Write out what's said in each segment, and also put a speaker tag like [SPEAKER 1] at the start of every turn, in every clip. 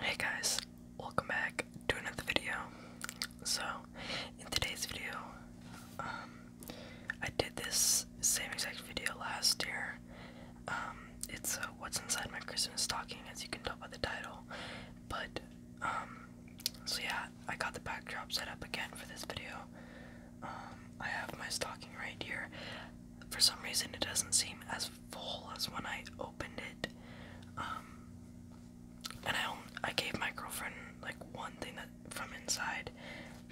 [SPEAKER 1] Hey guys, welcome back to another video. So, in today's video, um, I did this same exact video last year. Um, it's uh, what's inside my Christmas stocking, as you can tell by the title. But, um, so yeah, I got the backdrop set up again for this video. Um, I have my stocking right here. For some reason, it doesn't seem as full as when I opened it. Um, and I I gave my girlfriend like one thing from inside,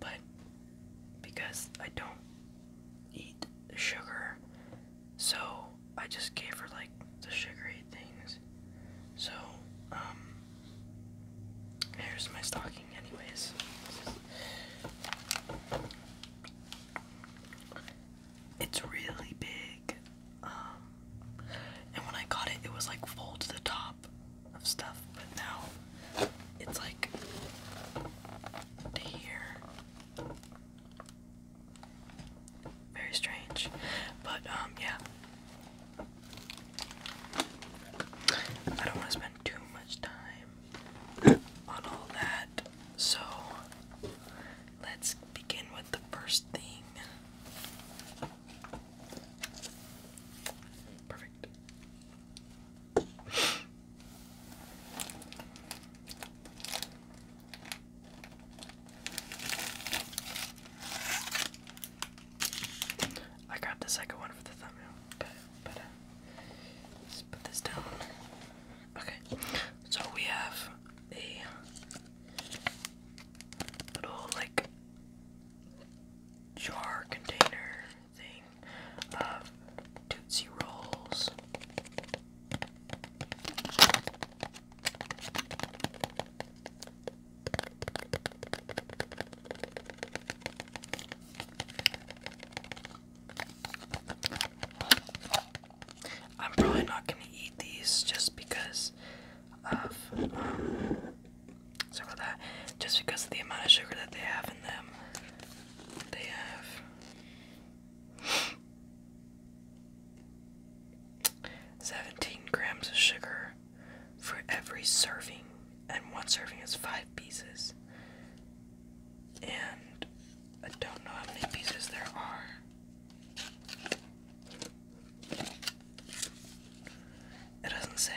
[SPEAKER 1] but because I don't eat sugar, so I just gave her like the sugary things. So, um, here's my stocking, anyways. It's really big. Um, and when I got it, it was like full to the top of stuff, but now it's like to here. Very strange. But, um, yeah. I don't want to spend too much time on all that. So let's begin with the first thing. Perfect. I got the second one for the thumbnail. Okay, so we have a little like jar container thing of Tootsie Rolls. I'm probably not gonna eat these just because of um, sorry about that. Just because of the amount of sugar that they have in them, they have seventeen grams of sugar for every serving, and one serving is five pieces. And I don't know how many pieces there are. It doesn't say.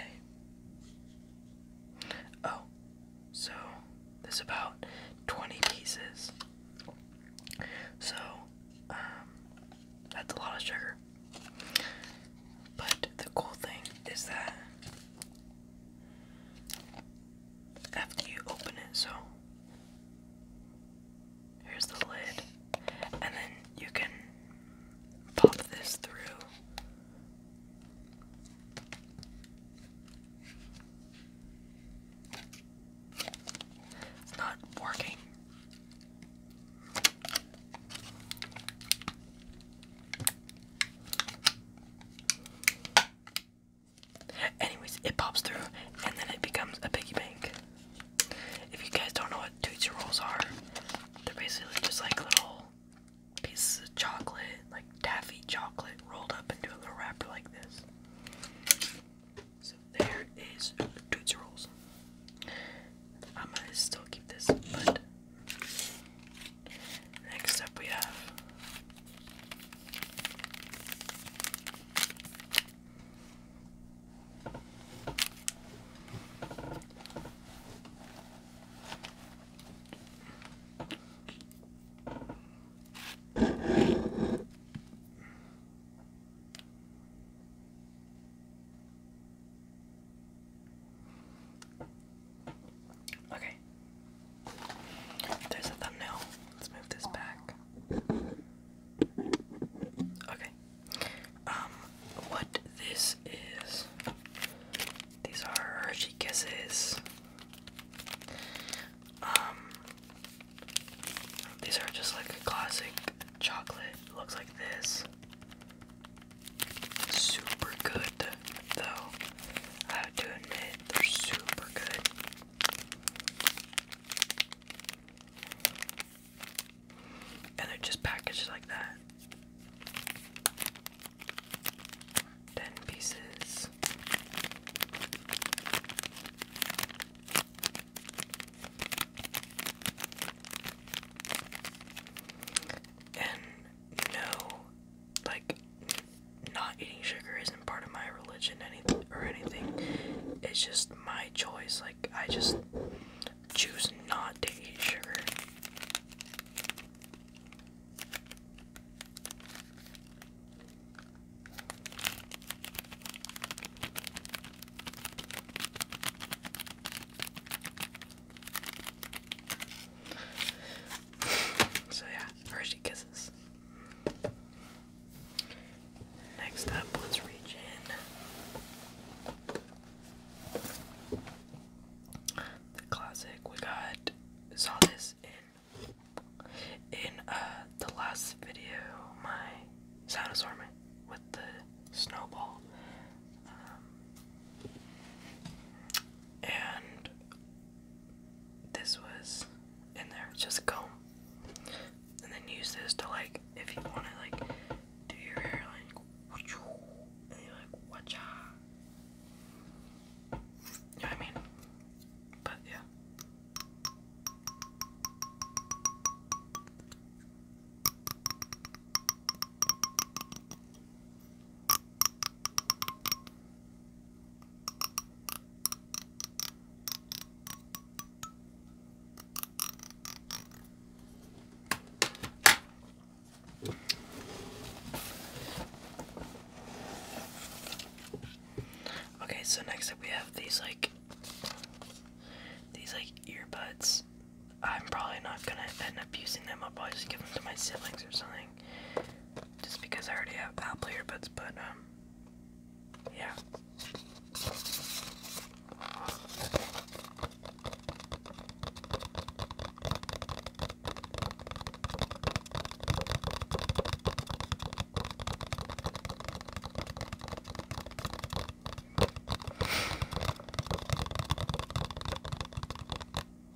[SPEAKER 1] Oh, so there's about 20 pieces. So, um, that's a lot of sugar. But the cool thing is that after you open it. So here's the lid, and then you can pop this through. It's not working. Anyways, it pops through and then it becomes a piggy bank. If you guys don't know what Tootsie Rolls are, they're basically just like little pieces of chocolate, like taffy chocolate, rolled up into a little wrapper like this. So there is Tootsie Rolls. I'm gonna still keep this, but Next up, we have Okay. There's a thumbnail. Let's move this back. Okay. Um, what this is. These are Hershey Kisses. Um, these are just like classic chocolate. Looks like this super good, though. I have admit, they're super good. And they're just packaged like that. 10 pieces. And no like not eating sugar isn't part of my religion anything or anything. It's just my choice. Like I just choose not to eat sugar. so yeah, Hershey kisses. Next up, let's reach in the classic. We got saw this in in uh the last video. My sound assortment with the snowball. Um, and this was in there. It's just a comb. And then use this to like, if you want to like, do your hair like, and you're like, watcha. You know what I mean? But yeah. Okay, so next up we have these like these like earbuds I'm probably not gonna end up using them. I'll probably just give them to my siblings or something. Just because I already have Apple earbuds, but um, yeah.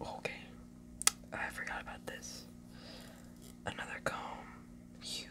[SPEAKER 1] Okay, I forgot about this. Another comb, huge.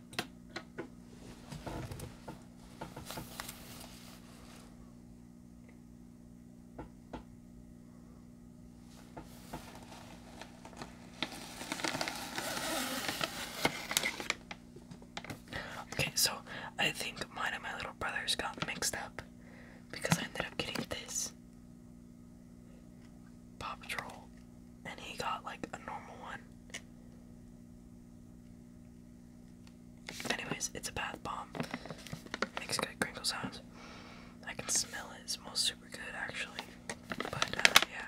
[SPEAKER 1] Okay, so I think mine and my little brother's got mixed up because I ended up getting this pop troll, and he got like a normal one. Anyways, it's a bath bomb. Makes good crinkle sounds. I can smell it. It smells super good, actually. But, uh, yeah.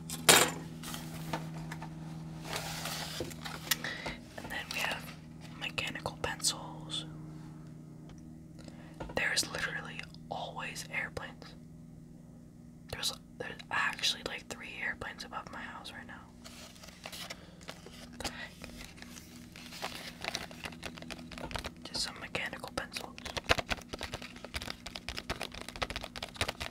[SPEAKER 1] And then we have mechanical pencils. There's literally always airplanes. There's there's actually like three airplanes above my house right now. Just some mechanical pencils.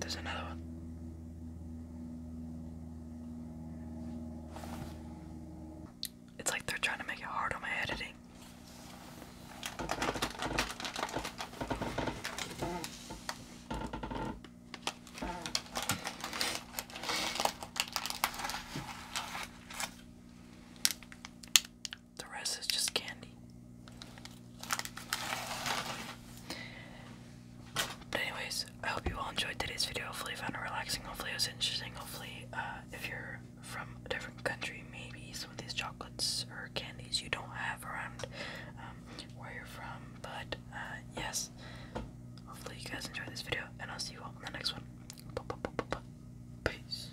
[SPEAKER 1] There's another one. It's like they're trying to make it hard on my editing. The rest is just candy. But anyways, I hope you all enjoyed today's video. Hopefully found it relaxing. Hopefully it was interesting. Hopefully, uh, if you're from a different country, maybe some of these chocolates or candies you don't have around um, where you're from. But uh, yes, hopefully you guys enjoyed this video, and I'll see you all in the next one. Peace.